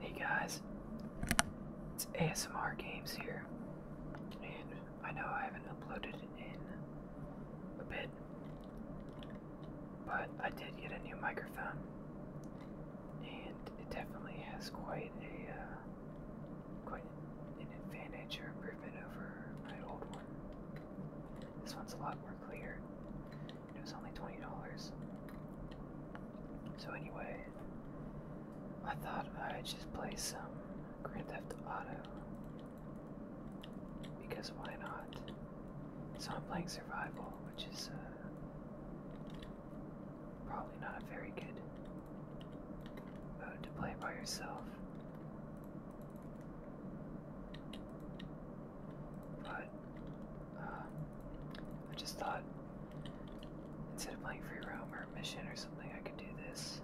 Hey guys, it's ASMR Games here, and I know I haven't uploaded in a bit, but I did get a new microphone, and it definitely has quite a uh, quite an advantage or improvement over my old one. This one's a lot more clear, it was only $20. So, anyway, I thought I'd just play some Grand Theft Auto because why not? So, I'm playing Survival, which is uh, probably not a very good mode to play by yourself. But I just thought instead of playing free roam or mission or something, I could do this.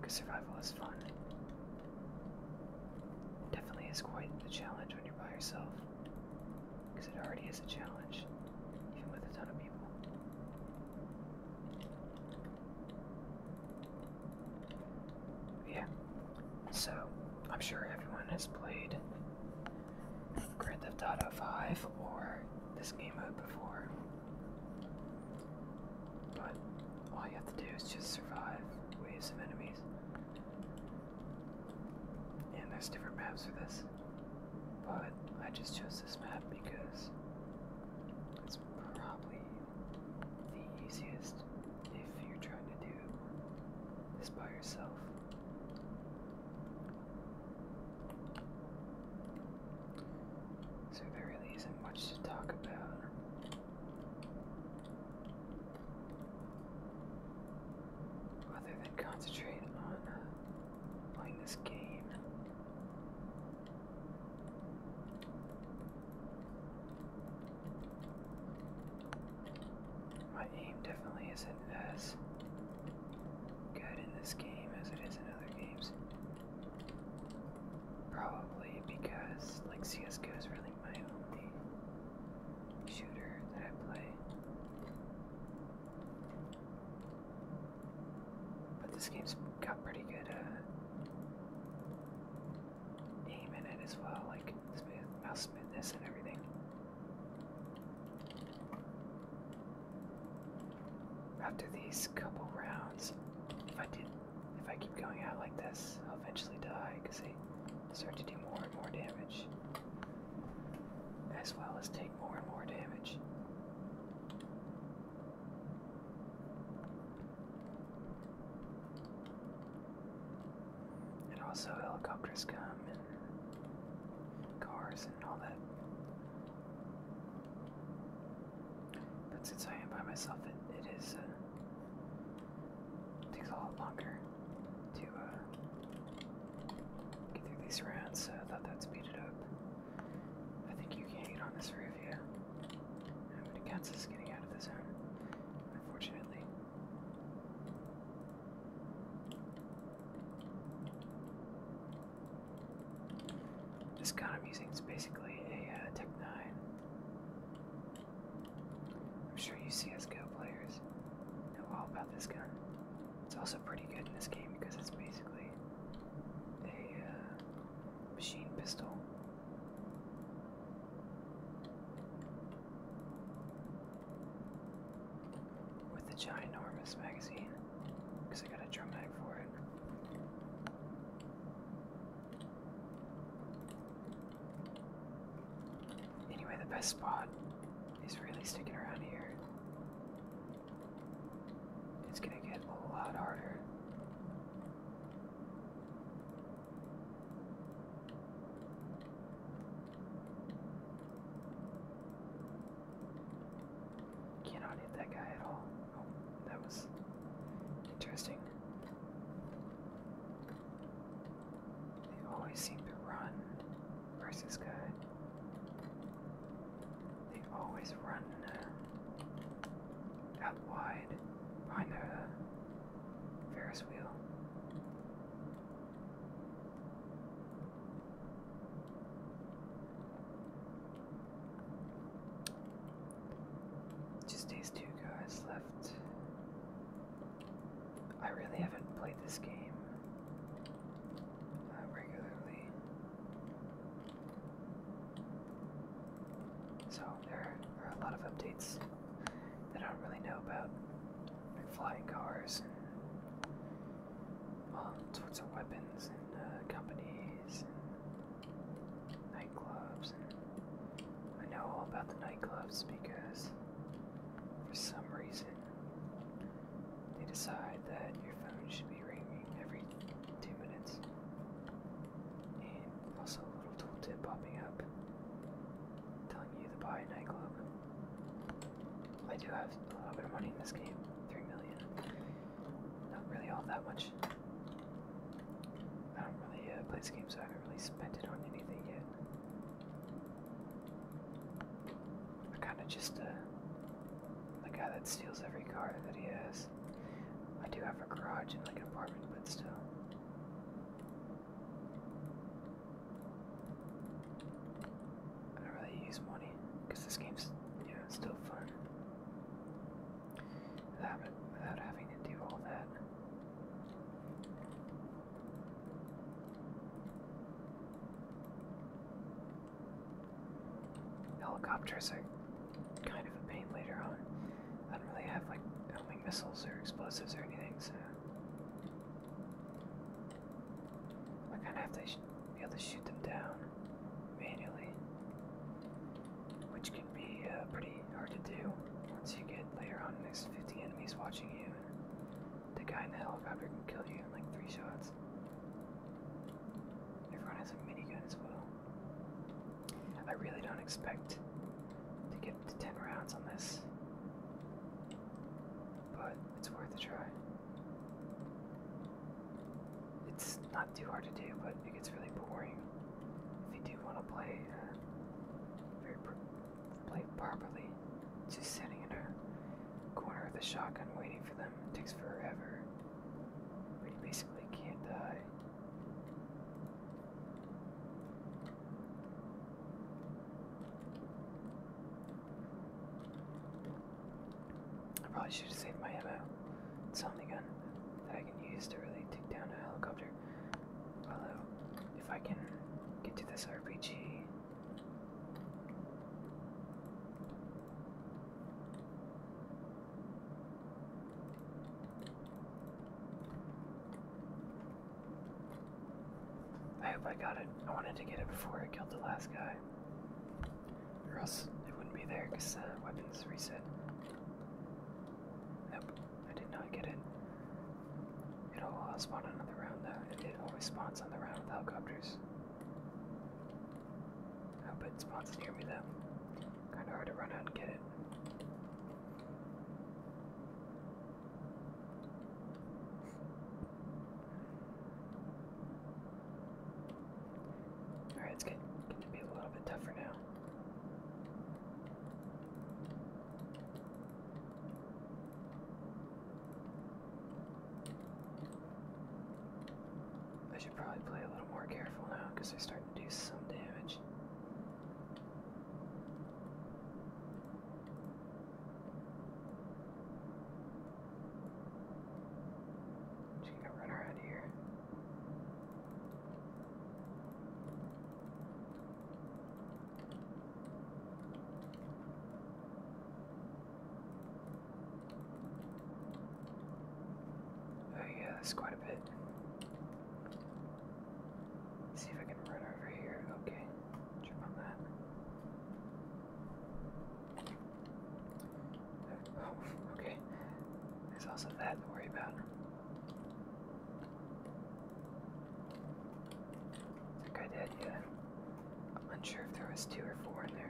Because survival is fun. definitely is quite the challenge when you're by yourself. Because it already is a challenge, even with a ton of people. Yeah. So, I'm sure everyone has played Grand Theft Auto 5 or this game mode before. But all you have to do is just survive waves of enemies. And there's different maps for this. But I just chose this map because it's probably the easiest if you're trying to do this by yourself. So there really isn't much to talk about. Other than concentrate on uh, playing this game. My aim definitely isn't as good in this game as it is in other games. Probably because, like, CSGO is really my only shooter that I play. But this game's got pretty good uh, aim in it as well, like smooth, mouse smoothness and everything. After these couple rounds, if I did, if I keep going out like this, I'll eventually die because they start to do more and more damage, as well as take more and more damage. And also helicopters come and cars and all that. But since I am by myself, it, it is uh, takes a lot longer to uh, get through these rounds. So I thought that speed it up. I think you can't get on this roof How many cats is getting out of the zone, unfortunately. This gun I'm using is basically a uh, tec 9. I'm sure you CSGO players know all about this gun. It's also pretty good in this game because it's basically a uh, machine pistol with the ginormous magazine because I got a drum mag for it. Anyway, the best spot is really sticking around here. It's gonna get a lot harder. Cannot hit that guy at all. Oh, that was interesting. They always seem to run versus guy. They always run uh, out wide behind the Ferris wheel. Just these two guys left. I really haven't played this game uh, regularly. So there are a lot of updates that I don't really know about, like flying cars all sorts of weapons and uh, companies and nightclubs. And I know all about the nightclubs because for some reason they decide that your phone should be ringing every two minutes. And also a little tooltip popping up telling you to buy a nightclub. I do have a little bit of money in this game. Three million. Not really all that much. I don't really uh, play the game, so I haven't really spent it on anything yet. I kind of just, uh, the guy that steals every car that he has. I do have a garage and like an apartment, but still. I don't really use money because this game's yeah it's still fun without, without having to do all that. Helicopters are kind of a pain later on. I don't really have like homing missiles or explosives or anything, so I kind of have to be able to shoot them down manually, which can be uh, pretty hard to do once you get later on. There's 50 enemies watching you, the guy in the helicopter can kill you in like three shots. Everyone has a minigun as well. I really don't expect to get to 10 rounds on this but it's worth a try. It's not too hard to do, but it gets really boring if you do want to play uh, very play properly. Just sitting in a corner of the shotgun waiting for them takes forever. But you basically can't die. I probably should have saved my ammo. It's only gun that I can use to really take down a helicopter. Although, if I can get to this RPG. I hope I got it. I wanted to get it before I killed the last guy. Or else it wouldn't be there because weapons reset. Nope, I did not get it. It'll uh, another round though. It, always spawns on the round with helicopters. I it spawns near me though. Kinda hard to run out and get it. Alright, it's getting, to be a little bit tougher now. I should probably play a little more careful now because they're starting to do some damage. I'm gonna run her out of here. Oh yeah, that's quite a bit. see if I can run over here. Okay, jump on that. Oh, okay. There's also that to worry about. It's a good idea. I'm unsure if there was two or four in there.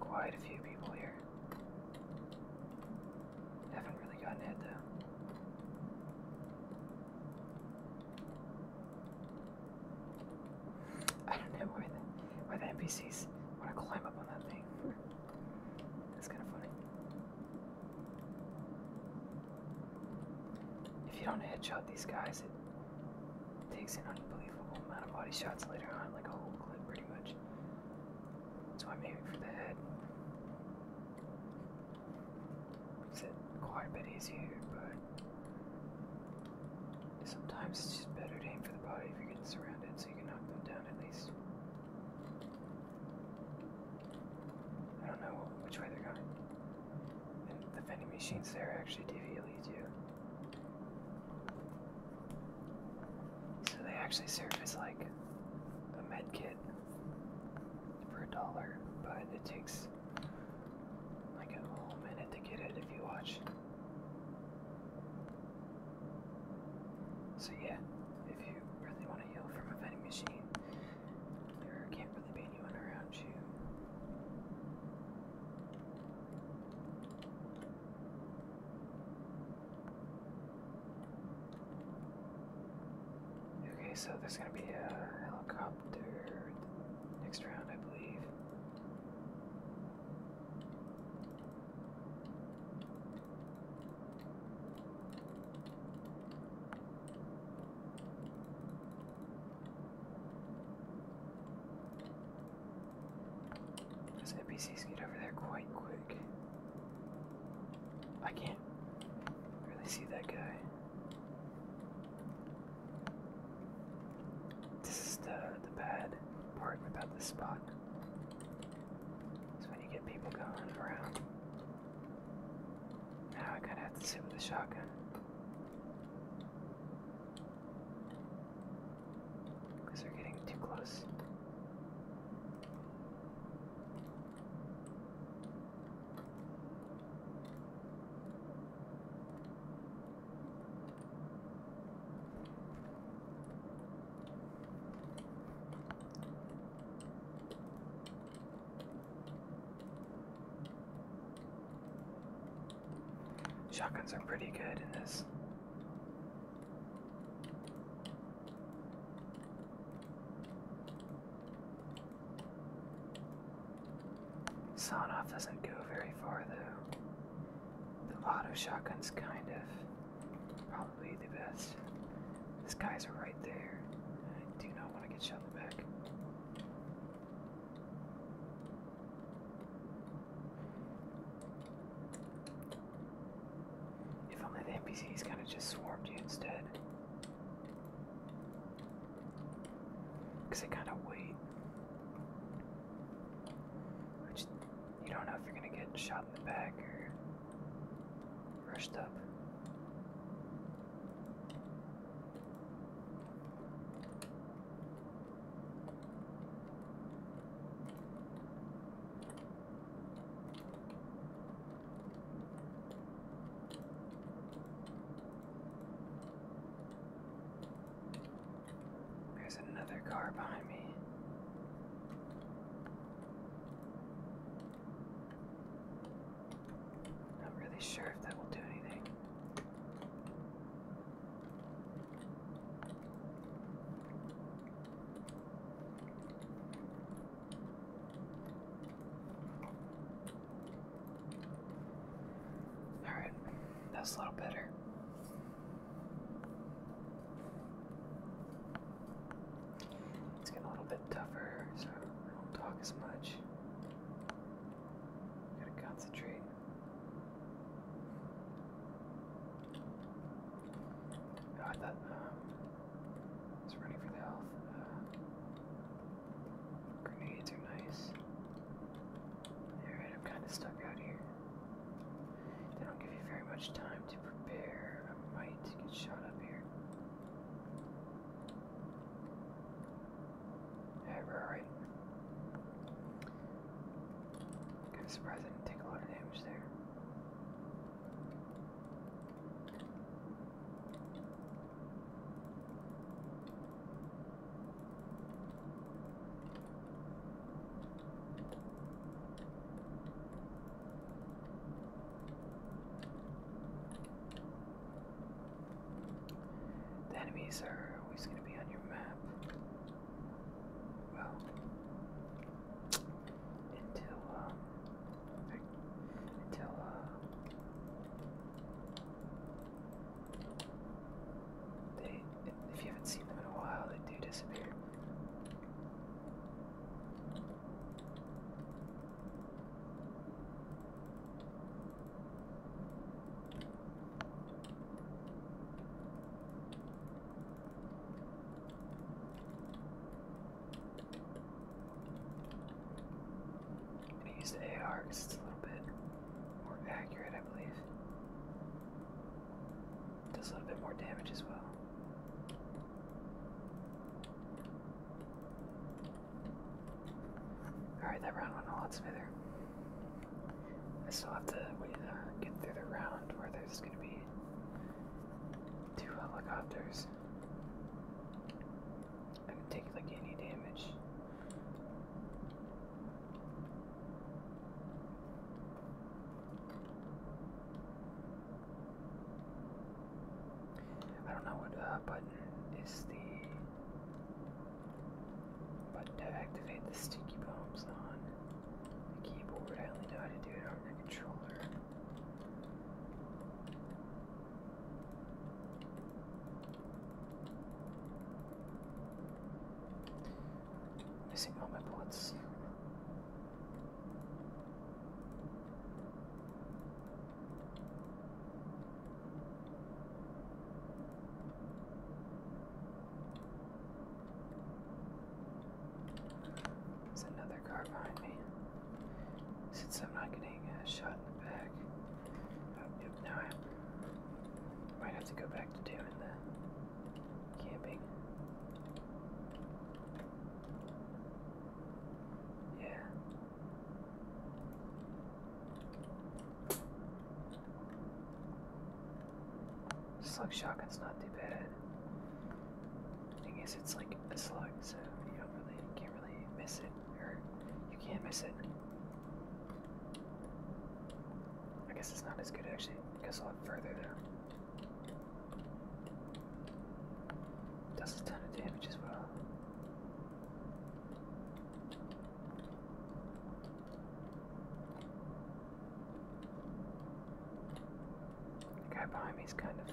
Quite a few people here. Haven't really gotten hit though. I don't know why the, why the NPCs want to climb up on that thing. That's kind of funny. If you don't out these guys, it Takes an unbelievable amount of body shots later on, like a whole clip pretty much. So I'm aiming for the head. Makes it quite a bit easier, but sometimes it's just better to aim for the body if you're getting surrounded so you can knock them down at least. I don't know which way they're going. the vending machines there actually deviate you. So they actually serve as like a med kit for a dollar, but it takes like a whole minute to get it if you watch. So yeah, if you really want to heal from a vending machine, there can't really be anyone around you. Okay, so there's gonna be a helicopter next round, I believe. Those NPCs get over there quite quick. I can't really see that guy. This is the the bad part about this spot. It's when you get people going around. Now I kinda have to sit with a shotgun. Because they're getting too close. Shotguns are pretty good in this. Sonoff doesn't go very far though. The auto shotgun's kind of probably the best. These guys are right there. I do not want to get shot in the back. If only the NPCs kind of just swarmed you instead. Because they kind of wait. you don't know if you're going to get shot in the back or rushed up. There's another car behind me. Not really sure if that will do anything. All right, that's a little better. It's getting a little bit tougher, so I don't talk as much. Gotta concentrate. I thought um, for the health. Uh, grenades are nice. Alright, I'm kind of stuck out here. They don't give you very much time to prepare. I might get shot up here. Yeah, we Kind of surprised I didn't take a lot of damage there. enemies are always going to be on your map well, until, until, uh, they, if you haven't seen them in a while, they do disappear. I'm gonna use the AR it's a little bit more accurate, I believe. Does a little bit more damage as well. Alright, that round went a lot smoother. I still have to wait, uh, get through the round where there's gonna be two helicopters. I can take like any damage. I don't know what uh, button is the button to activate the sticky bombs on the keyboard. I only know how to do it on the controller. Missing all my bullets. There's another car behind me. Since I'm not getting a shot in the back. Oh, yep, now I might have to go back to doing the camping. Yeah. Slug shotgun's not too bad. The thing is, it's like a slug, so you don't really, can't really miss it, or you can not miss it. I guess it's not as good actually. It goes a lot further there. Does a ton of damage as well. The guy behind me is kind of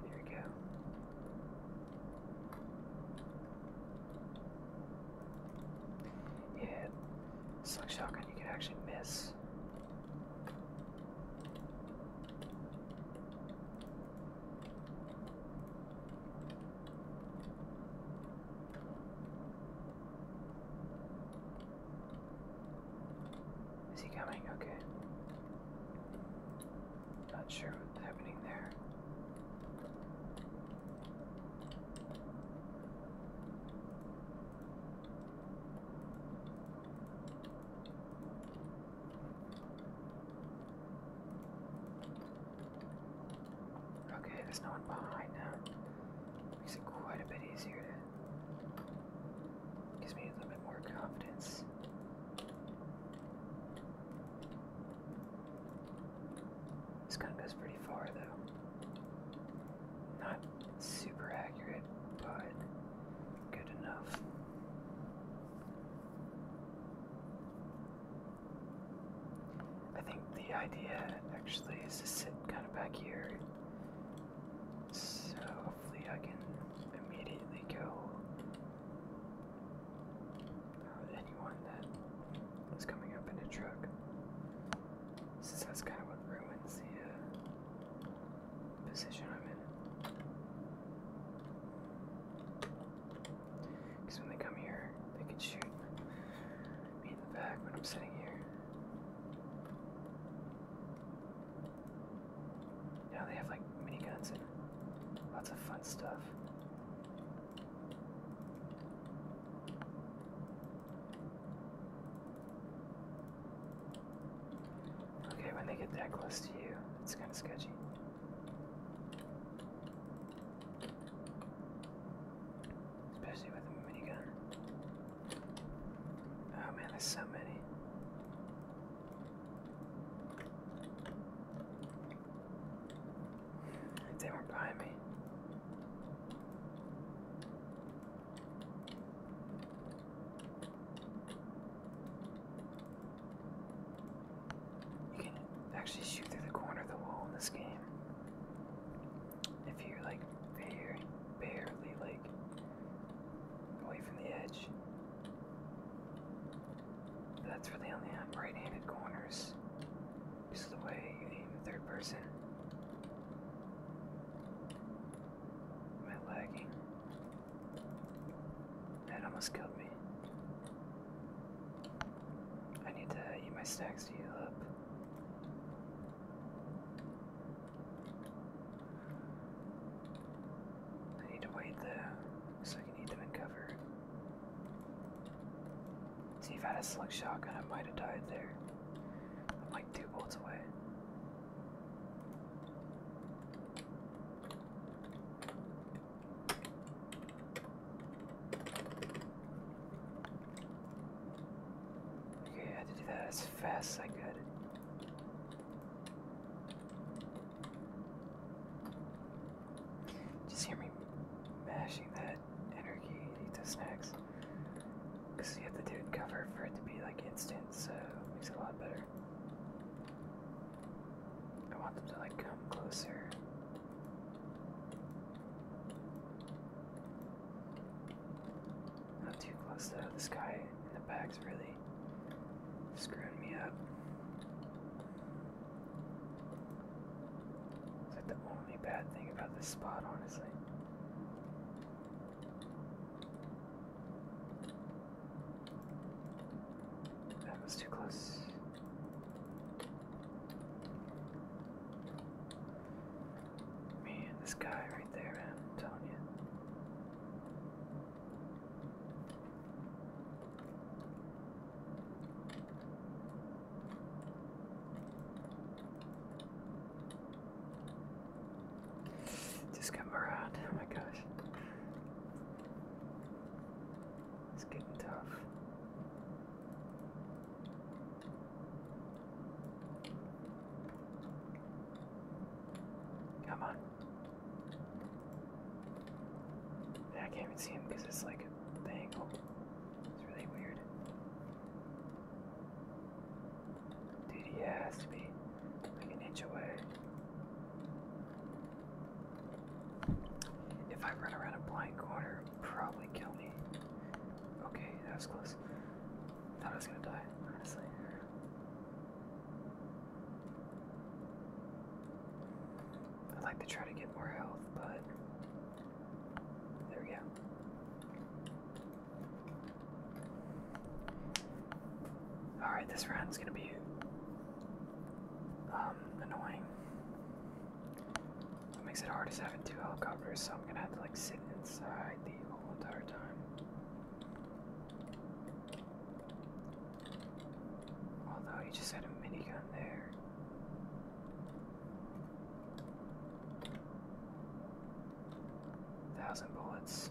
Here we go. Yeah, it's like you can actually miss. Is he coming? Okay. Not sure what's happening there. Okay, there's no one behind now. Makes it quite a bit easier to. Gives me a little bit more confidence. This gun goes pretty far though. Not super accurate, but good enough. I think the idea actually is to sit kind of back here. So hopefully I can immediately go. Uh, anyone that is coming up in a truck. Since that's kind of what ruins the uh, position I'm in. Because when they come here, they can shoot me in the back when I'm sitting here. Now they have like miniguns and lots of fun stuff. Okay, when they get that close to you, it's kind of sketchy. Especially with a minigun. Oh man, there's so many. they were behind me. You can actually shoot through the corner of the wall in this game if you're like very barely like away from the edge. But that's really only on right-handed corners. This is the way you aim in third person. Am lagging? That almost killed me. I need to eat my snacks to heal up. I need to wait there, so I can eat them in cover. See, if I had a slug shotgun, I might have died there. I'm like two bolts away. Okay, I had to do that as fast as I could. Just hear me mashing that energy into snacks. Because you have to do it cover for it to be like instant, so it makes it a lot better. I want them to like come closer not too close to this guy and the bags really screwing me up. It's like the only bad thing about this spot, honestly. That was too close. Man, this guy right there, Antonia. Just come around, oh my gosh. It's getting tough. Come on. I can't even see him because it's like a angle. It's really weird. Dude, he has to be like an inch away. If I run around a blind corner, probably kill me. Okay, that was close. Thought I was gonna die, honestly. I'd like to try to get more health, but there we go. Alright, this round's gonna be um annoying. What makes it hard to have two helicopters, so I'm gonna have to like sit inside the whole entire time. Although you just had a minigun there. Thousand bullets.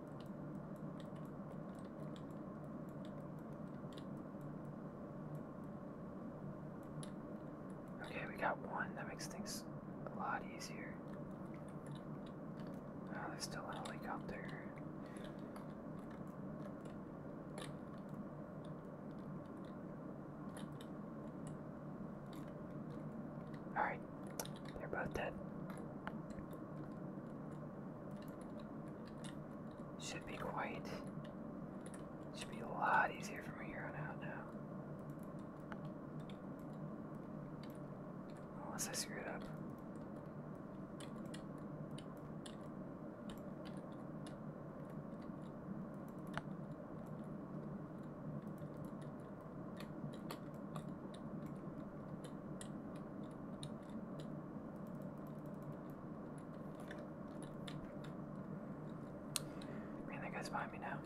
Okay, we got one. That makes things a lot easier. Oh, there's still a helicopter. Alright, they're both dead. Should be quiet. Should be a lot easier from here on out now. Unless I screw it up. Man, that guy's behind me now.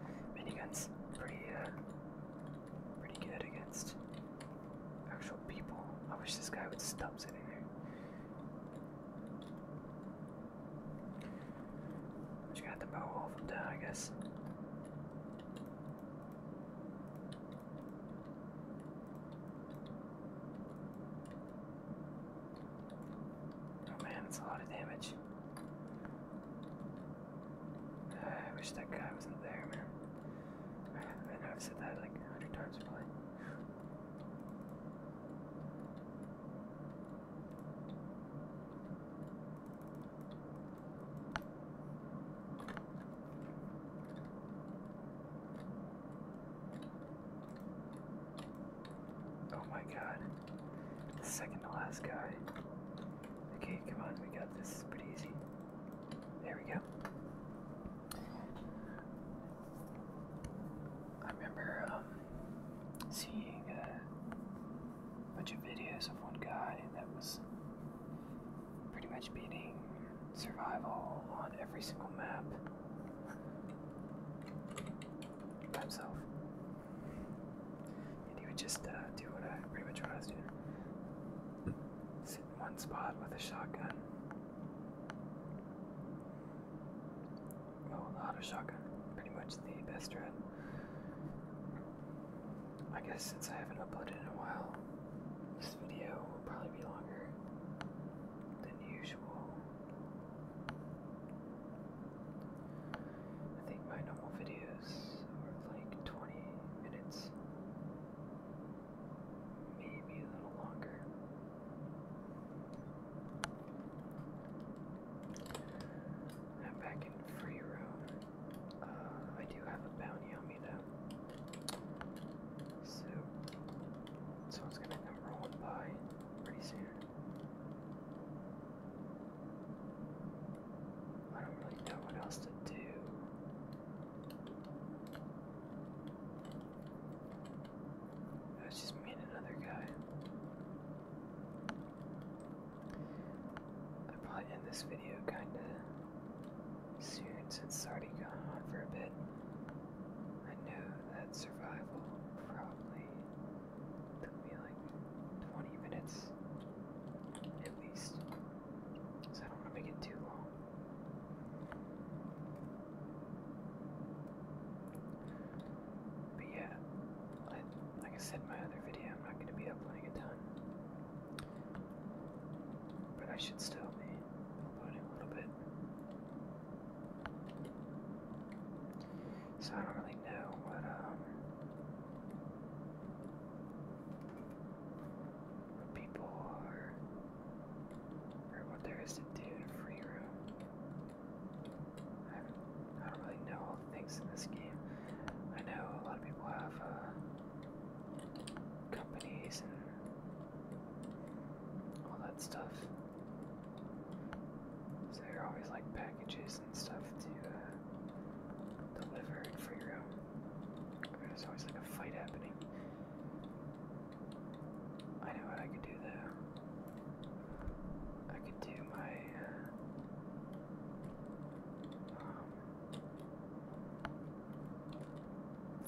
Miniguns, pretty, uh, pretty good against actual people. I wish this guy would stop sitting there. I'm just gonna have to I guess. Oh man, that's a lot of damage. I wish that guy wasn't there, man. I, know I've said that like a hundred times already. Oh my god. The second to last guy. Okay, come on, we got this. It's pretty easy. There we go. I remember um, seeing a bunch of videos of one guy that was pretty much beating survival on every single map by himself. And he would just uh, do what I pretty much what I one spot with a shotgun. Oh, Well, auto shotgun, pretty much the best strat. I guess since I haven't uploaded in a while, this video will probably be longer than usual. I think my normal videos are like 20 minutes. Maybe a little longer. I'm back in free room. Uh, I do have a bounty on me though. So, someone's gonna come rolling by pretty soon. I don't really know what else to do. That's just me and another guy. i probably end this video kinda soon since it's already gone on for a bit. I know that survival probably took me like 20 minutes at least. So I don't want to make it too long. But yeah, like I said in my other video, I'm not going to be uploading a ton. But I should still be uploading a little bit. So I don't really know what, um, what people are what there is to do in free room. I, don't really know all the things in this game. I know a lot of people have uh, companies and all that stuff. So there are always like packages and stuff to uh, deliver in free room. There's always like a fight happening. I know what I could do there. I could do my. Um,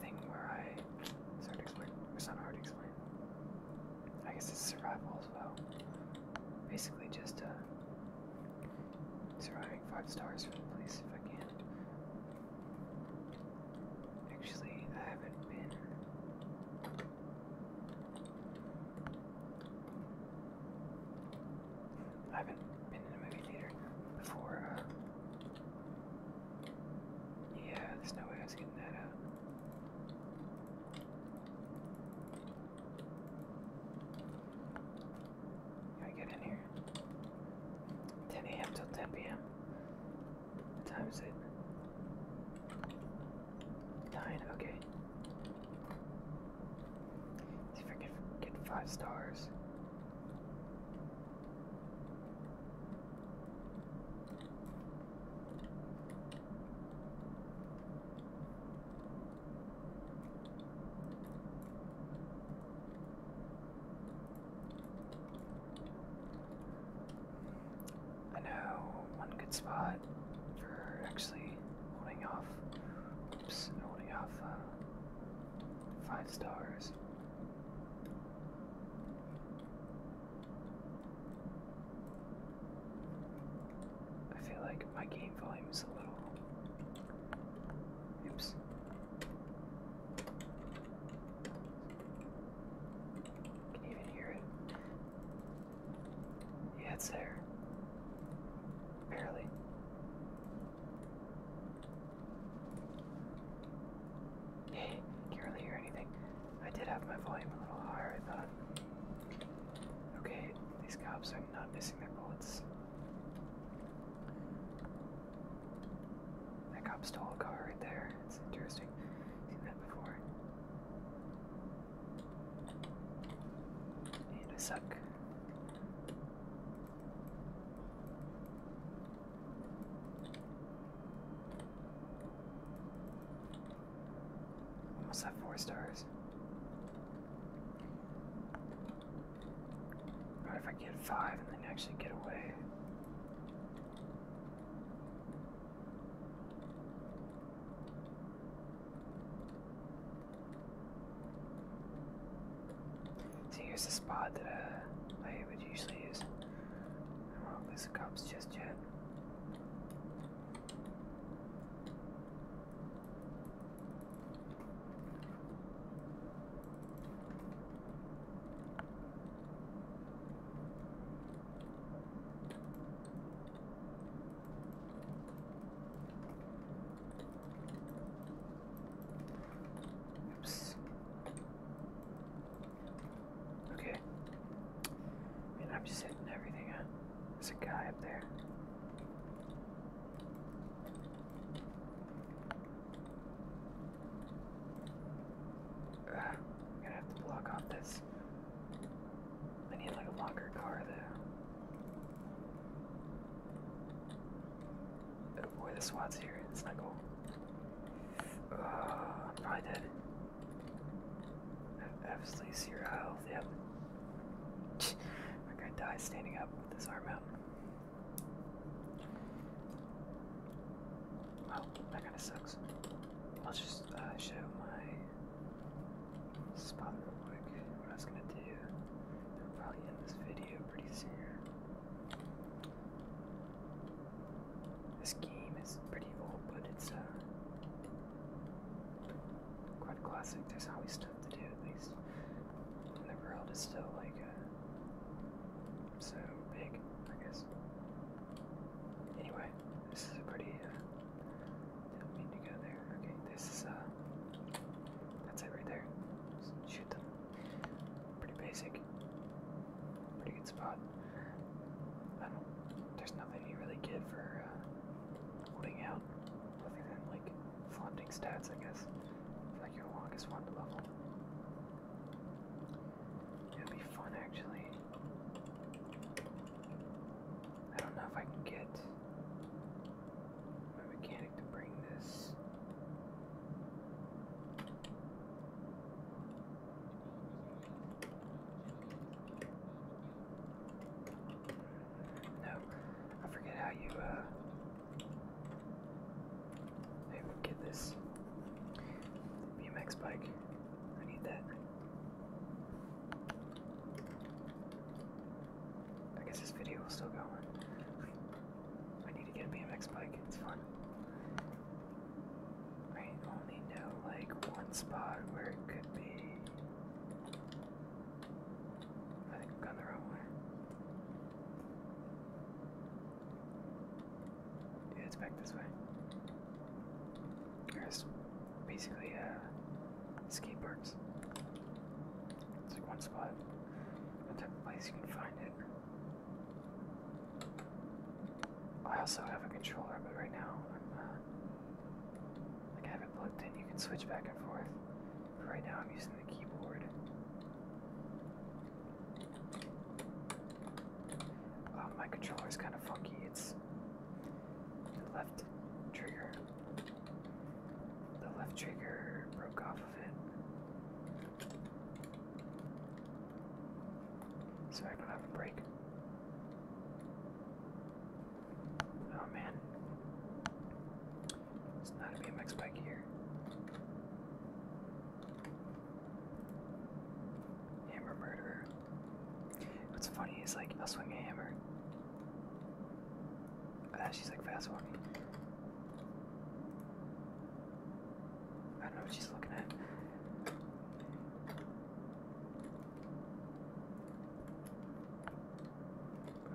thing where I. It's to explain. It's not hard to explain. I guess it's survival as well. Basically, just uh, surviving five stars from the police if I can. Actually, I haven't been. I haven't been in a movie theater before. Uh, yeah, there's no way I was getting that out. I get in here? 10 a.m. till 10 p.m. What time is it? Nine, okay. See if I get five stars. I know one good spot for actually holding off. Oops, holding off uh, five stars. I feel like my game volume is a little. Oops. Can you even hear it? Yeah, it's there. Barely. Hey, can't really hear anything. I did have my volume a little higher, I thought. Okay, these cops are not missing their bullets. That cop stole a car right there. It's interesting. Seen that before. And I suck. Almost have four stars. What if I get five and then actually get away? So here's the spot that uh, I would usually use. I won't lose the cops just yet. Oops. Okay. I I'm just hitting everything. Huh? There's a guy up there. I'm gonna have to block off this. I need like a longer car there. Oh boy, the SWAT's here. It's not cool. Uh, I'm probably dead. I absolutely zero health. Yep. My guy dies standing up with his arm out. Well, oh, that kind of sucks. I'll just uh, show my spot real quick. What I was gonna do. I'll probably end this video pretty soon. This game is pretty old, but it's uh, quite classic. There's always stuff to do, at least. And the world is still like uh, so big, I guess. Anyway, this is a pretty, uh, did Okay, this is, uh, that's it right there. shoot them. Pretty basic. Pretty good spot. I don't, there's nothing really good for, uh, holding out, other than, like, flaunting stats, I guess. like your longest one to level. It'd be fun actually. I don't know if I can get my mechanic to bring this. No, I forget how you uh I would get this BMX bike. I need that. I guess this video will still go on. I need to get a BMX bike. It's fun. I only know like one spot where it could be. I think I've gone the wrong yeah, it's back this way. There's basically uh, skate parks. It's like one spot, one type of place you can find it. I also have a controller, but right now I'm uh, like I have it plugged in. You can switch back and forth. But right now I'm using the keyboard. Um, my controller is kind of funky. It's the left trigger. The left trigger broke off of it. So I don't have a break. Oh man. It's not a BMX bike here. Hammer murderer. What's funny is like I'll swing a hammer. Ah, she's like fast walking. I don't know what she's looking at.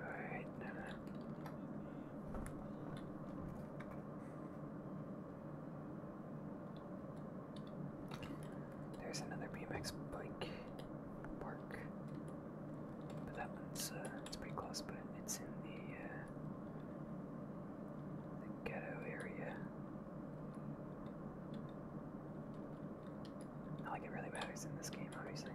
Alright, no, there's another BMX bike park, but that one's uh, it's pretty close, but it's in the, uh, ghetto area. Not like it really matters in this game, obviously.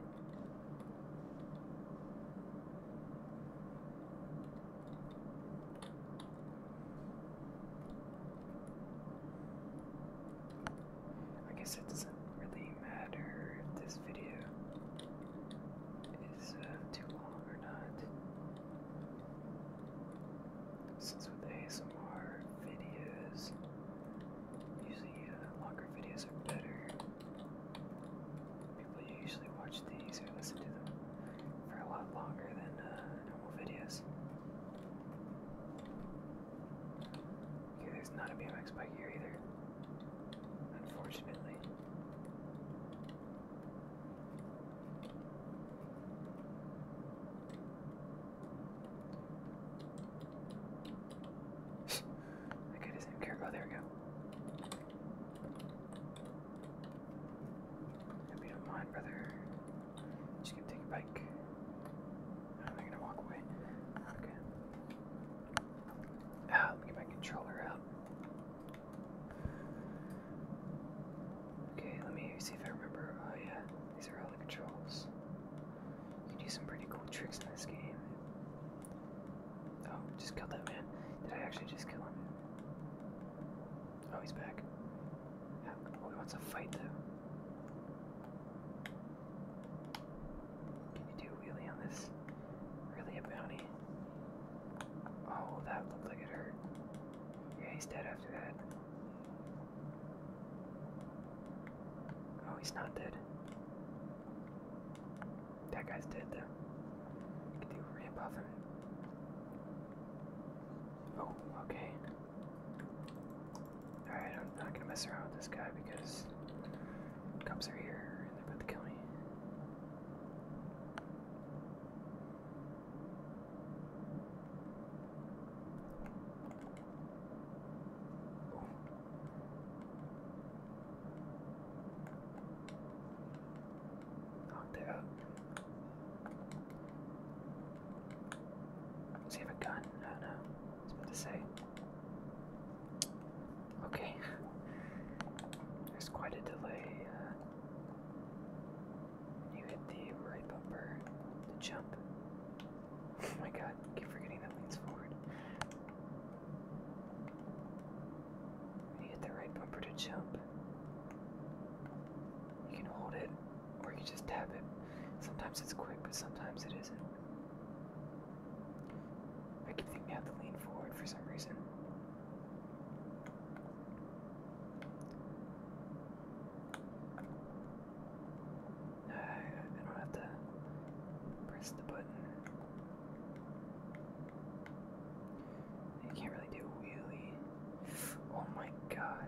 I guess it doesn't really matter if this video is uh, too long or not. Since with ASMR videos, usually uh, longer videos are better. People usually watch these or listen to them for a lot longer than uh, normal videos. Okay, there's not a BMX bike here either, unfortunately. I guy doesn't care. Oh, there we go. If you don't mind, brother, I'm just gonna take a bike. I'm not gonna walk away. Okay. Ah, let me get my controller out. Okay, let me see if I remember. Oh yeah, these are all the controls. You can do some pretty cool tricks in this game. Oh, just killed that man. Did I actually just kill him? Oh, he's back. Oh, he wants to fight though. Can you do a wheelie on this? Really a bounty? Oh, that looked like it hurt. Yeah, he's dead after that. Oh, he's not dead. That guy's dead though. You can a ramp Oh, okay. Alright, I'm not gonna mess around with this guy because cops are here and they're about to kill me he have a gun? I don't about to say. Okay. There's quite a delay. Uh, you hit the right bumper to jump. oh my god, I keep forgetting that leans forward. you hit the right bumper to jump, you can hold it or you just tap it. Sometimes it's quick, but sometimes it isn't. I keep thinking I have to lean forward for some reason. I don't have to press the button. I can't really do a wheelie. Oh my god.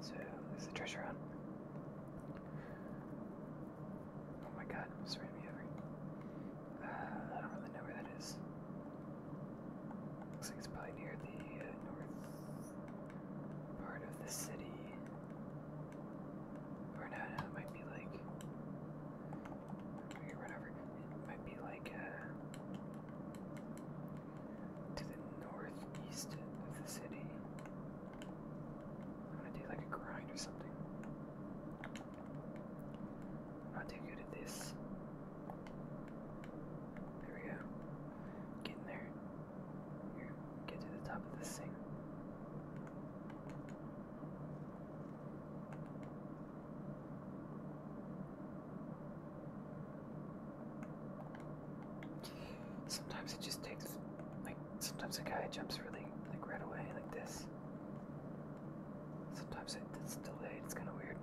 So this the treasure hunt. Oh my god, it's ran me over. Uh, I don't really know where that is. Looks like it's probably near the uh, north part of the city. Or might be like. Here, run It might be like uh, to the northeast of the city. I'm gonna do like a grind or something. I'm not too good at this. There we go. Get in there. Here, get to the top of this thing. Sometimes it just takes, like, sometimes a guy jumps really, like, right away, like this. Sometimes it's delayed, it's kind of weird.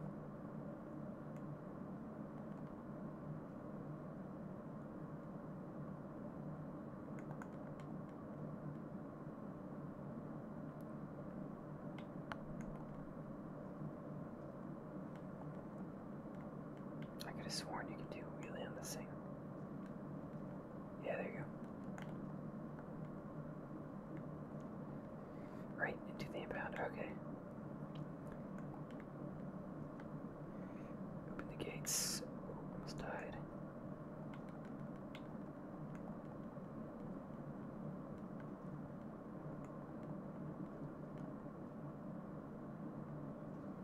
I could have sworn you could do a wheelie on the thing. Yeah, there you go. Right into the impound. Okay. Open the gates.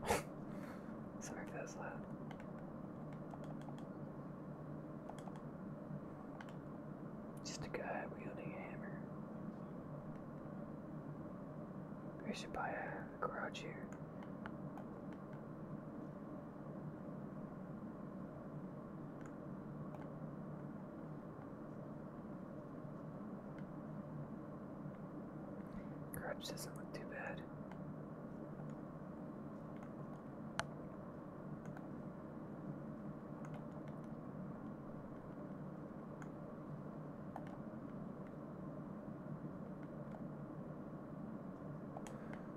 Oh, Sorry if Just a guy wielding a hammer. We should buy a garage here. Garage doesn't look too bad.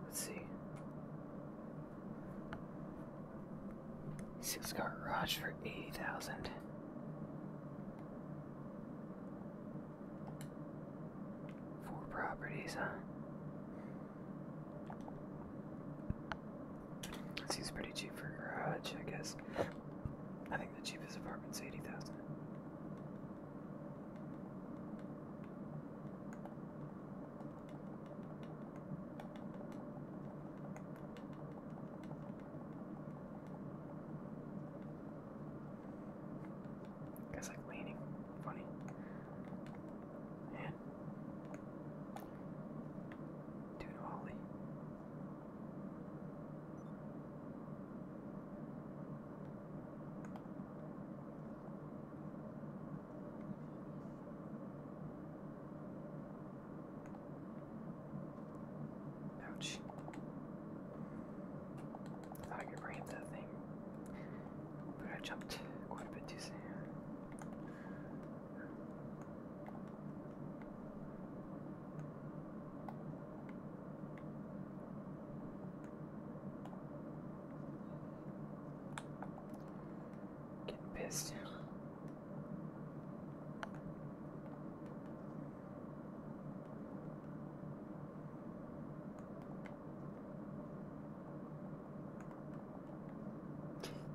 Let's see. Six garage for eighty thousand. Four properties, huh? Seems pretty cheap for a garage, I guess. I think the cheapest apartment's 80,000. Guys like leaning, funny. Man. Dude, Ollie. Ouch. I could bring that thing, but I jumped quite a bit too soon. Getting pissed.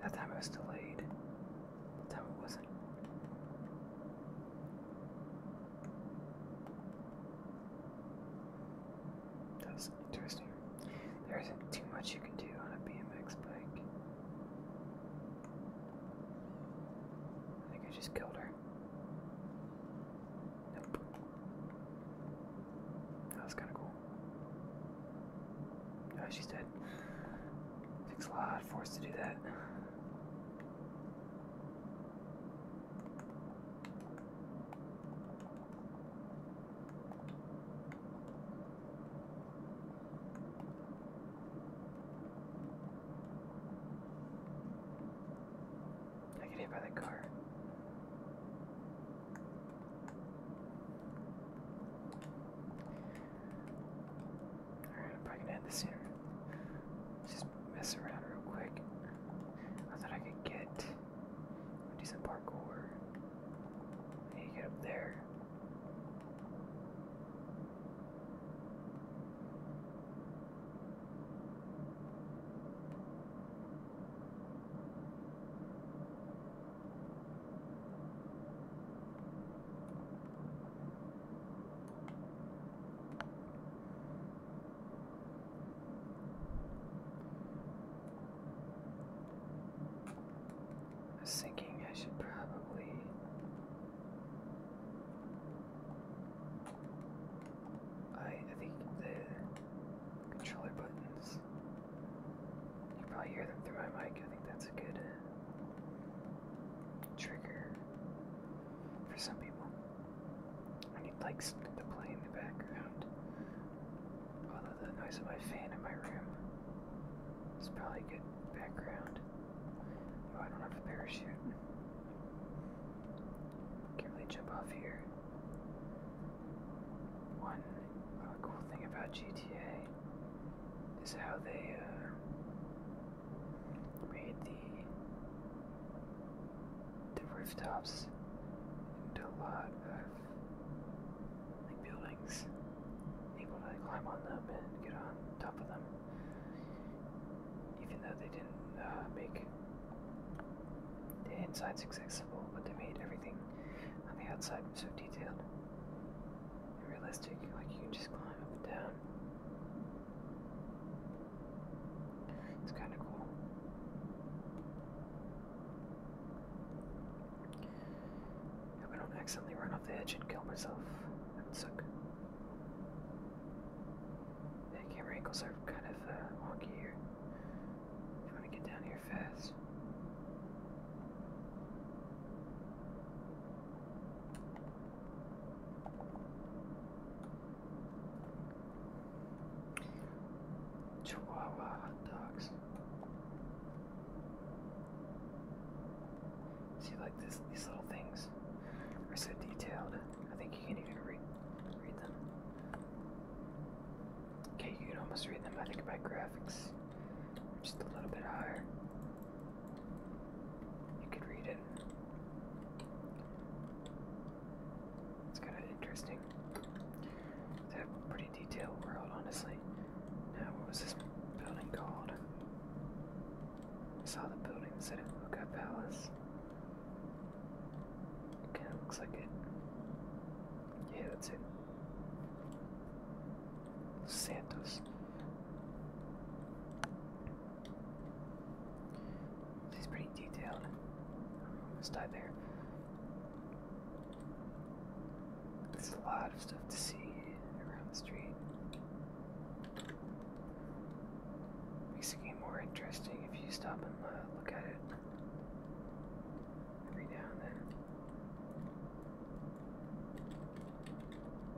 That time I was delayed. So was That's interesting. There isn't too much you can do on a BMX bike. I think I just killed her. Nope. That was kind of cool. No, oh, she's dead. Takes a lot of force to do that. I get hit by that car. Alright, I'm probably gonna end this here. Just mess around real quick. I thought I could get a decent parkour. I need get up there. I was thinking I should probably. I, I think the controller buttons. You probably hear them through my mic. I think that's a good trigger for some people. I need like something to play in the background. Although the noise of my fan in my room is probably good background. Oh, I don't have a parachute. Can't really jump off here. One oh, cool thing about GTA is how they uh, made the the rooftops into a lot of buildings. able to climb on them and get on top of them, even though they didn't uh, make the insides accessible, but they made everything on the outside so detailed and realistic. Like you can just climb up and down. It's kind of cool. Hope I don't accidentally run off the edge and kill myself. That would suck. The camera angles are kind of uh, wonky here. I'm to get down here fast. Chihuahua hot dogs. See, like this, these little things are so detailed. I think you can even read read them. Okay, you can almost read them. I think by graphics, just a little bit higher. You could read it. It's kind of interesting. It's a pretty detailed world, honestly. Now, what was this building called? I saw the building said Imuka Palace. It kind of looks like it. Yeah, that's it. Santos. He's pretty detailed. Let's die there. There's a lot of stuff to see around the street. Makes it game more interesting if you stop and uh, look at it every now and then.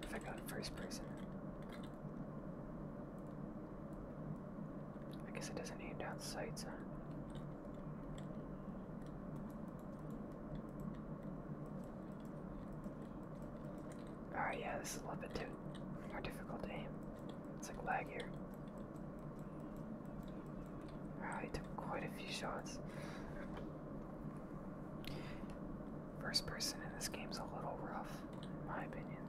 If I got first person. I guess it doesn't aim down sights, huh? Alright, yeah, this is a little bit too more difficult to aim. It's like lag here. Alright, took quite a few shots. First person in this game's a little rough, in my opinion.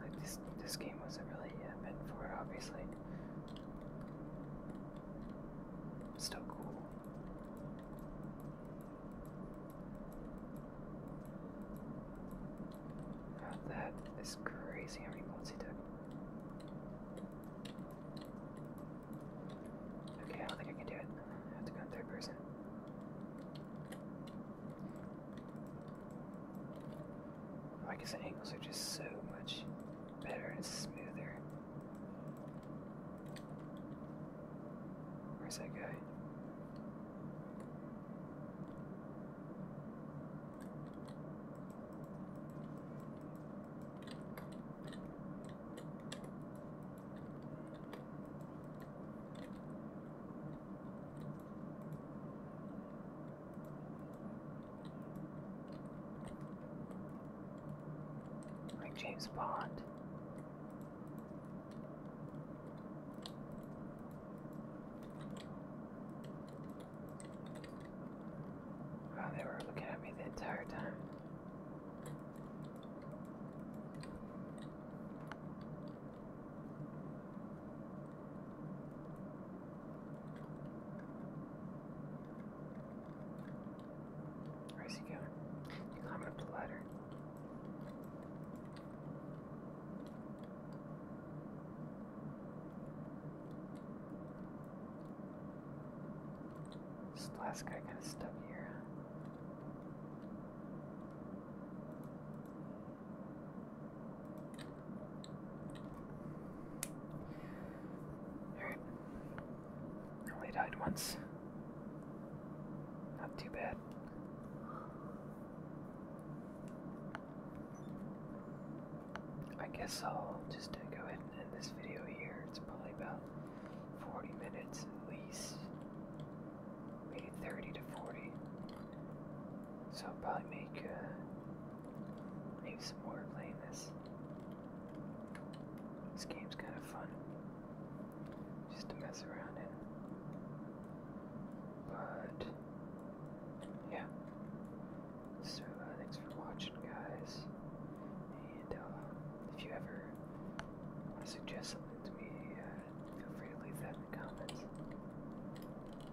Like this, this game wasn't really meant for it, obviously. Still cool. Now that is crazy how many bullets Okay, I don't think I can do it. I have to go in third person. Oh, I guess the angles are just so much better and smoother. Where's that guy? Like James Bond. Wow, oh, they were looking at me the entire time. Where's he going? He climbed up the ladder. This last guy kind of stuck here. Alright. Only died once. Not too bad. I guess I'll just go ahead and end this video here. It's probably about 40 minutes at least. Maybe 30 to 40. So I'll probably make, uh, maybe some more playing this. This game's kind of fun. Just to mess around in. But, yeah. So, uh, thanks for watching, guys. And, uh, if you ever want to suggest something to me, uh, feel free to leave that in the comments.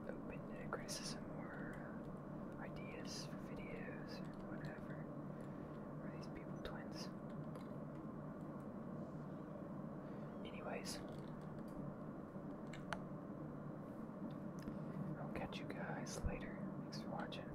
Open to criticism or uh, ideas for videos or whatever. Are these people twins? Anyways, I'll catch you guys later. Thanks for watching.